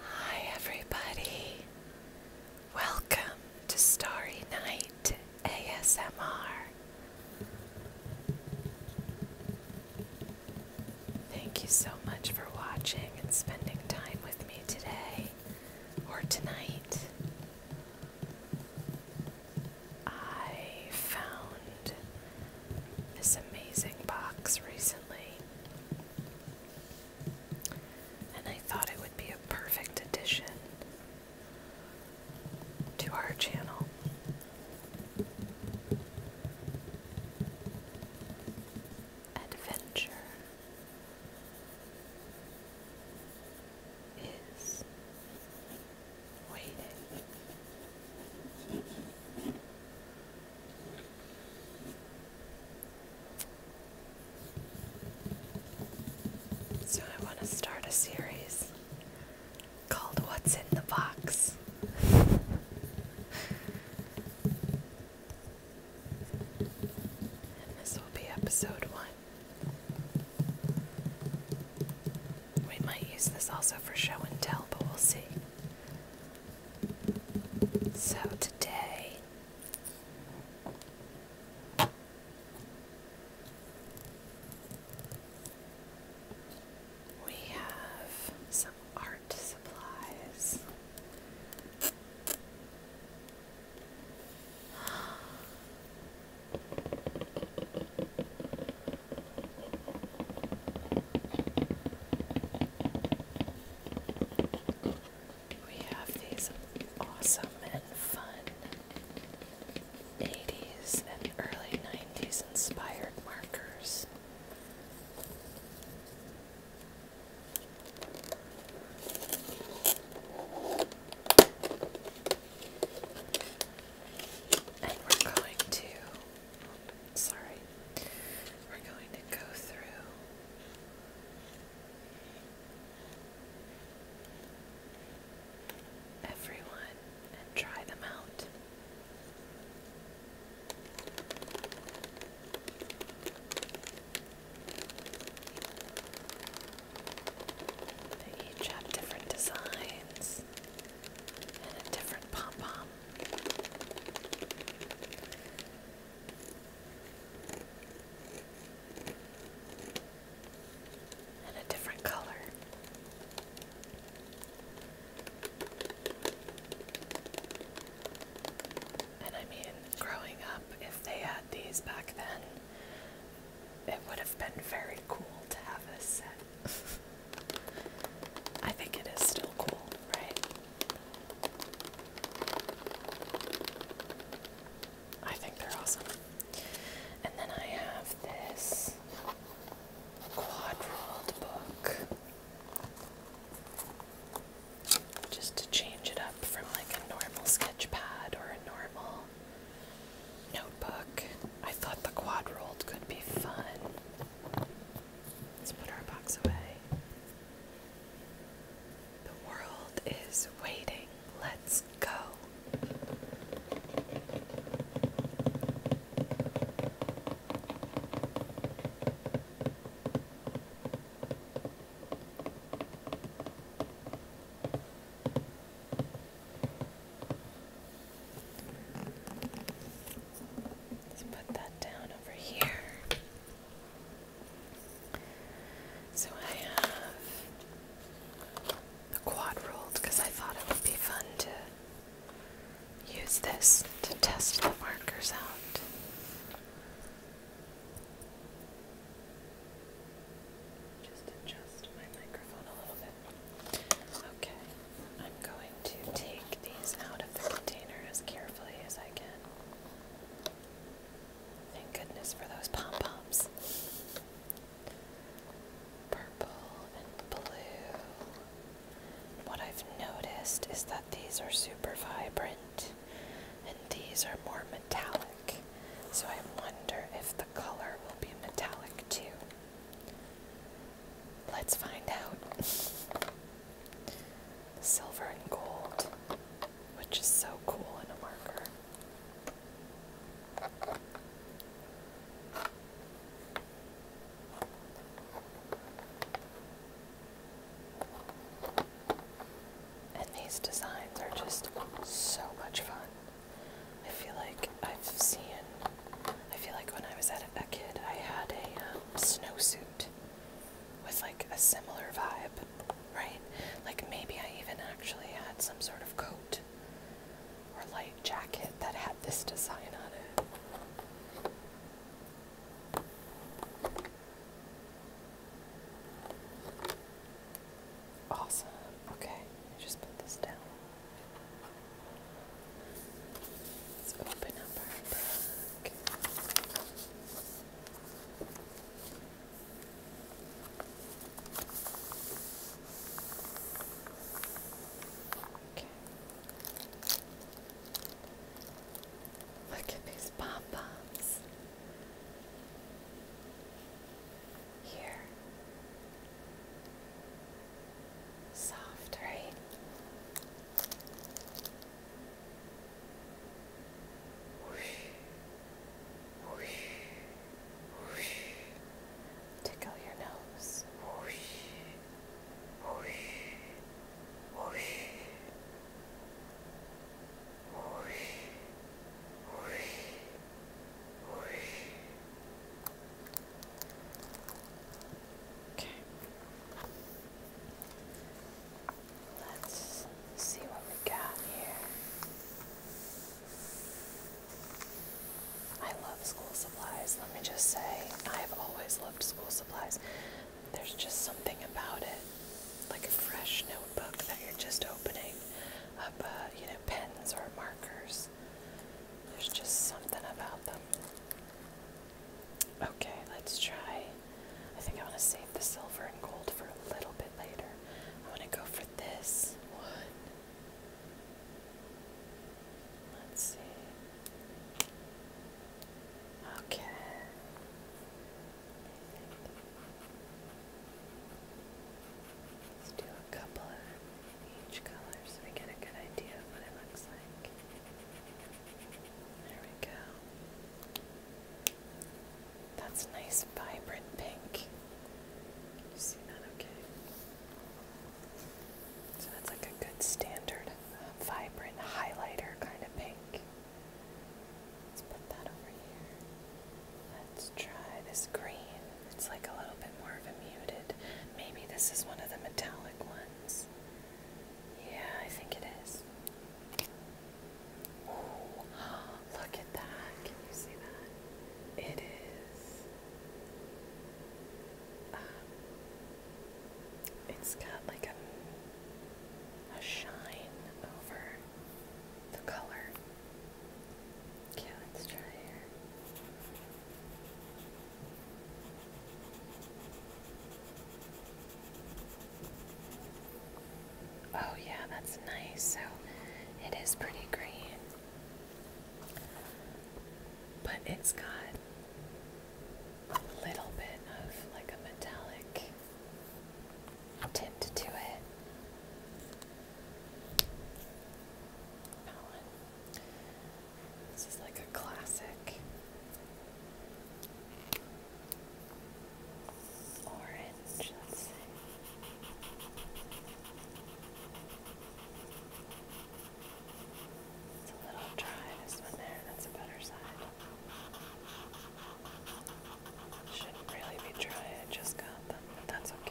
Hi, everybody. Welcome to Starry Night ASMR. Thank you so much for watching and spending time with me today or tonight. I found this amazing box recently. And I thought it would be a perfect addition to our channel. Adventure is waiting. So I want to start a series called What's in the Box. and this will be episode one. We might use this also for show and tell, but we'll see. So today we have some art supplies. We have these awesome and fun 80s and early 90s inspired markers. we're going to Sorry. We're going to go through everyone and try them out. each have different designs and a different pom pom. And a different color. And I mean, growing up, if they had these back then, it would have been very cool to have a set. I think it is still cool, right? I think they're awesome. And then I have this quadrilled book. Just to change it up from like a normal sketch pad or a normal notebook. I thought the quadrilled could be fun. Let's put our box away. The world is waiting. Let's go. Let's put that down over here. So I have the quad rolled because I thought it would be fun to use this to test the markers out. Just adjust my microphone a little bit. Okay. I'm going to take these out of the container as carefully as I can. Thank goodness for those pom poms. Purple and blue. What I've noticed is that these are super vibrant and these are more metallic. So I wonder if the color will be metallic too. Let's find out. Silver and gold, which is so cool in a marker. And these designs are just so much fun. I feel like I've seen I feel like when I was at a, kid, I had a um, snowsuit with like a similar vibe, right? Like maybe I even actually had some sort of coat or light jacket that had this design on it. Awesome. Okay, I just put this down. Let's open up our book. Okay. Look at these pom poms. Here. Soft, right? Whoosh, whoosh, whoosh. Tickle your nose. Whoosh, whoosh, whoosh. Whoosh, whoosh, whoosh. Okay. Let's see what we got here. I love school supplies, let me just say. I've always loved school supplies. There's just something about it, like a fresh notebook that you're just opening up, uh, you know, pens or markers. There's just something about them. Okay, let's try. I think I want to save the silver and gold for a little bit later. I want to go for this one. Let's see. Okay. Let's do a couple of each color so we get a good idea of what it looks like. There we go. That's nice, vibrant pink. Can you see that okay? So that's like a good standard, uh, vibrant highlighter kind of pink. Let's put that over here. Let's try this green. It's like a little bit more of a muted. Maybe this is one of the metallic ones. Yeah, I think it is. look at that. Can you see that? It is. Um, its it has got like a, a shine over the color. Okay, let's try here. Oh, yeah, that's nice. So it is pretty green, but it's got a little bit of like a metallic tint to it. This is like a classic orange, It's a little dry, this one there, that's a better side. Shouldn't really be dry, I just got them, that's okay.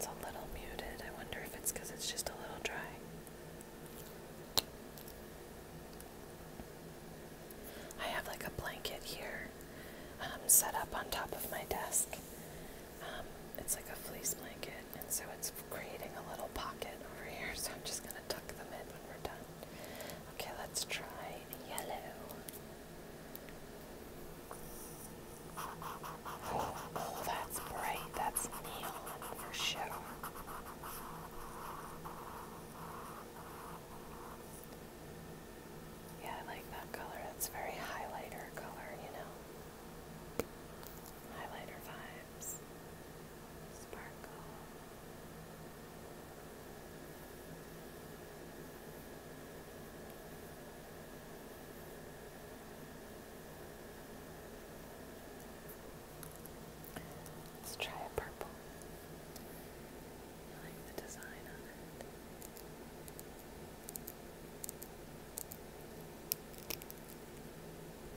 It's a little muted. I wonder if it's because it's just a little dry. I have like a blanket here um, set up on top of my desk. Um, it's like a fleece blanket, and so it's creating a little pocket over here. So I'm just going to tuck them in when we're done. Okay, let's try yellow. Oh, that's bright. That's neon for sure. Yeah, I like that color. That's very highlighter color, you know. Highlighter vibes. Sparkle. Let's try a purple. I like the design on it.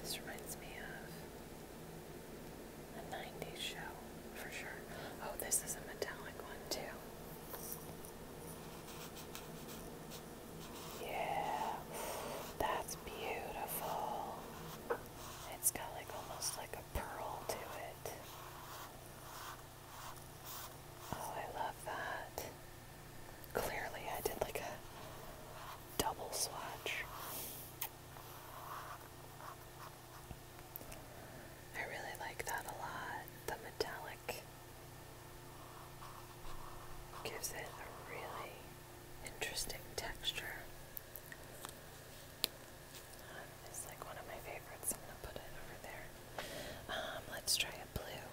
This reminds me of a 90s show for sure. Oh, this is a metallic one too. Yeah, that's beautiful. It's got like almost like a pearl to it. Oh, I love that. Clearly, I did like a double swatch. I really like that a lot. The metallic gives it a really interesting texture. Um, it's like one of my favorites. I'm going to put it over there. Um, let's try a blue.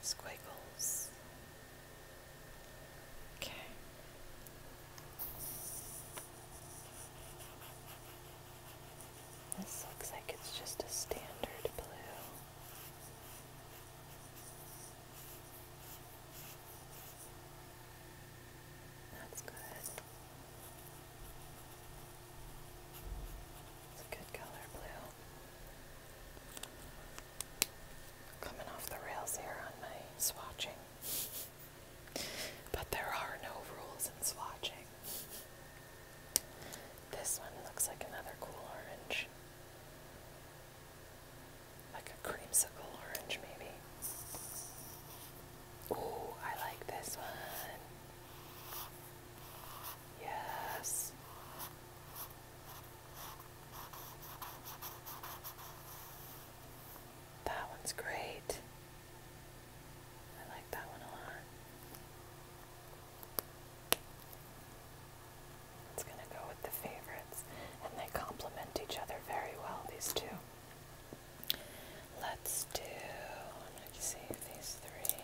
Squiggles. This looks like it's just a standard blue. That's good. It's a good color blue. Coming off the rails here on my swatching. But there are no rules in swatching. This one looks like another cool orange. Like a creamsicle orange, maybe. Ooh, I like this one. Yes. That one's great. I like that one a lot. It's going to go with the favorites, and they complement each other very well, these two. Let's do, let's save these three.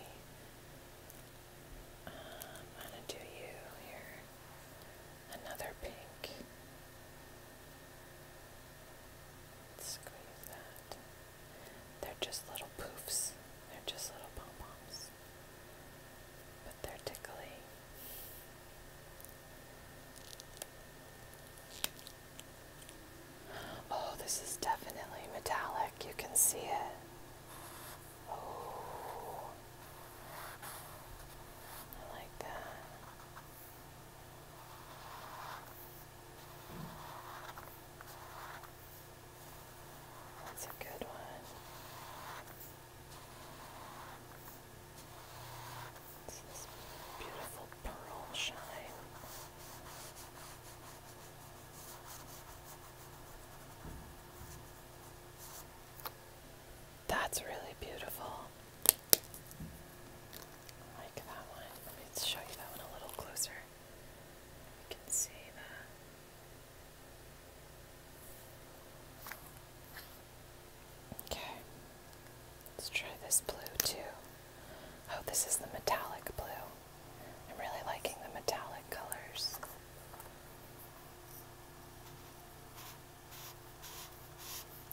Uh, I'm going to do you here another pink. Squeeze that. They're just little poofs. They're just little pom poms. But they're tickly. Oh, this is definitely metallic. You can see it. Oh. I like that. That's a good one. It's this beautiful pearl shine. That's really beautiful like that one. Let me show you that one a little closer. You can see that. Okay. Let's try this blue too. Oh, this is the metallic blue. I'm really liking the metallic colors.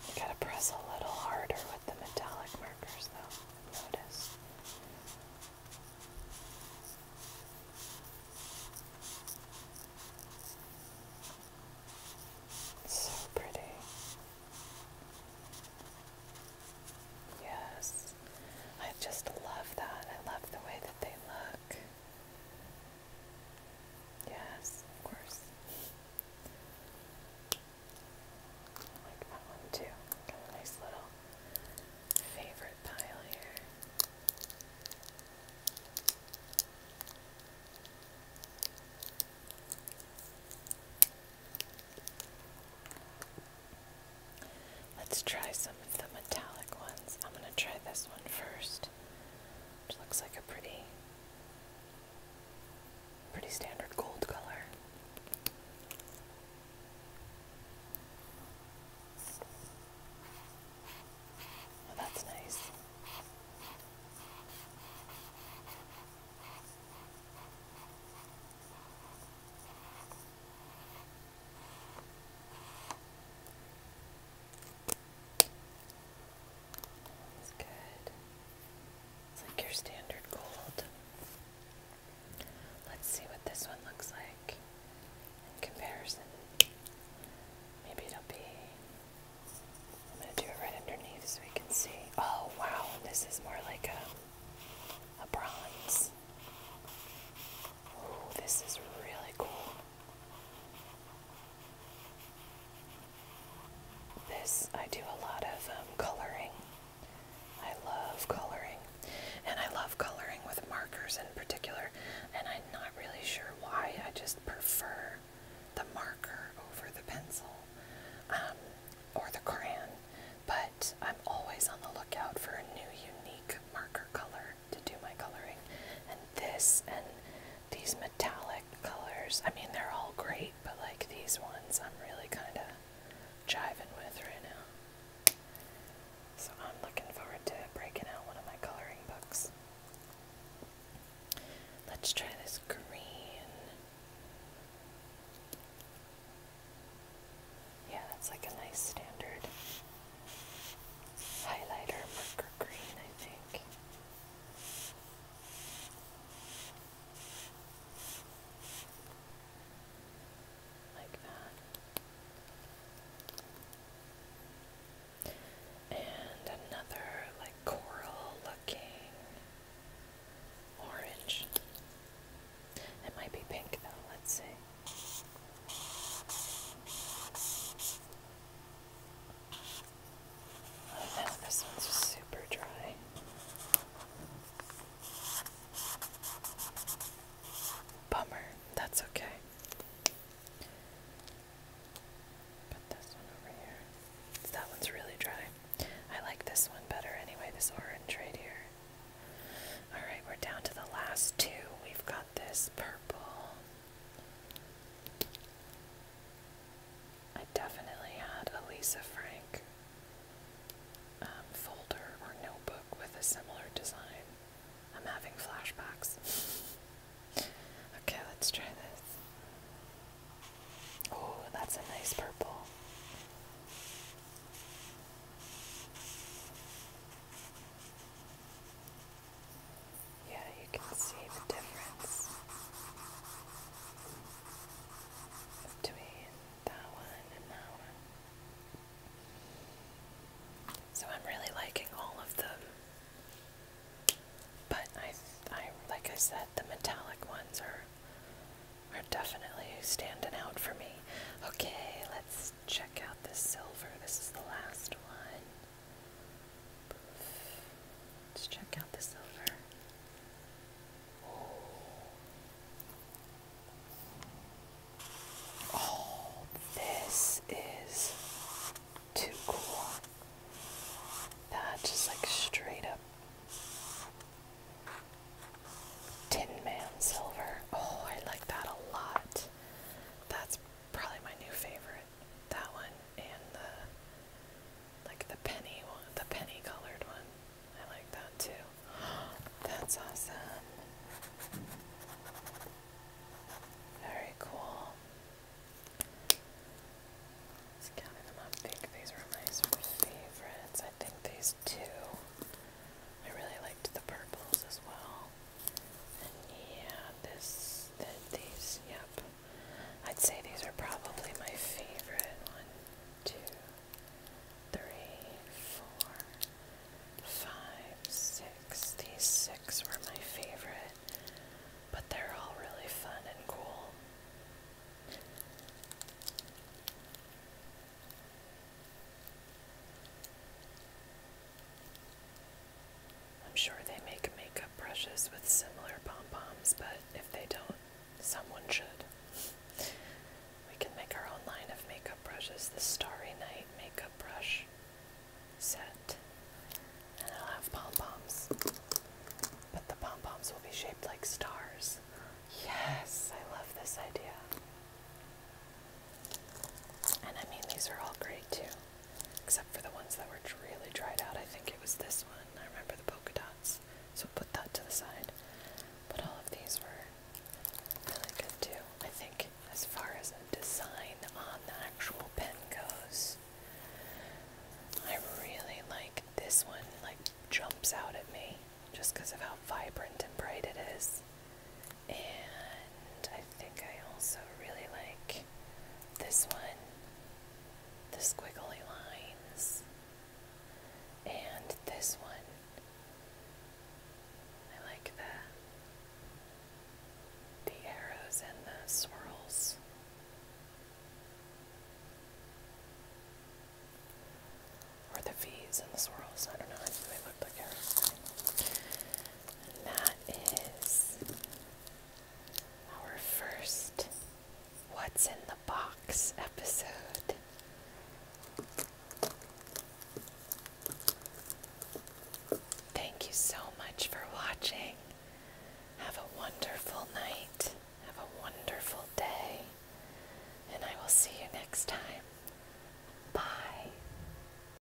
You gotta press a little harder with the metallic markers though, notice. So pretty. Yes. I just love that. I love the way that they look. Yes, of course. like that one too. Got a nice little favorite pile here. Let's try some of the metallic ones. I'm going to try this one first. Which looks like a pretty pretty standard gold color. Oh, that's nice. That's good. It's like your standard gold. Let's see what this one looks like in comparison. Maybe it'll be. I'm going to do it right underneath so we can see. Oh wow, this is more like a, a bronze. Ooh, this is really cool. This, I do a lot of um, coloring. I love coloring. And I love coloring with markers in particular. And I'm not really sure why. I just prefer the marker over the pencil um, or the crayon. But I'm always on the lookout for a new, unique marker color to do my coloring. And this and these metallic colors, I mean, they're all great, but like these ones, I'm really kind of jiving with right now. So I'm looking forward to breaking out one of my coloring books. Let's try this green. Yeah, that's like a nice standard highlighter marker green, I think. Like that. And another like coral looking orange. It might be pink though, let's see. Oh, this one's super dry. Bummer, that's okay. Put this one over here. That one's really dry. I like this one better anyway, this orange right here. Alright, we're down to the last two. We've got this purple. I definitely had a Lisa Frank um, folder or notebook with a similar design. I'm having flashbacks. okay, let's try this. Oh, that's a nice purple. Yeah, you can see the difference between that one and that one. So I'm really liking all of them. But I, I like I said, the metallic ones are are definitely standing out for me. Okay, let's check out the silver. This is the last one. Let's check out the silver. Oh, this is too cool. That just like straight up Tin silver. Oh, I like that a lot. That's probably my new favorite that one and the like the penny one, the penny colored one. I like that too. That's awesome. Very cool. Just counting them up. I think these were my sort of favorites. I think these two. I really liked the purples as well yeah, this, these, yep. I'd say these are probably my favorite. One, two, three, four, five, six. These six were my favorite, but they're all really fun and cool. I'm sure they make makeup brushes with similar pom poms, but if they don't, someone should. we can make our own line of makeup brushes the Starry Night Makeup Brush set. And I will have pom poms. But the pom poms will be shaped like stars. Yes, I love this idea. And I mean, these are all great too, except for the ones that were really dried out. I think it was this one. I remember the polka dots, so put that to the side. But all of these were really good too. I think, as far as the design on the actual pen goes, I really like this one. Like jumps out at me just because of how vibrant and bright it is. And I think I also really like this one, the squiggly lines, and this one. I like that the arrows and the swirls. Or the V's and the swirls. I don't know that is our first What's in the Box episode. Thank you so much for watching. Have a wonderful night. Have a wonderful day. And I will see you next time. Bye.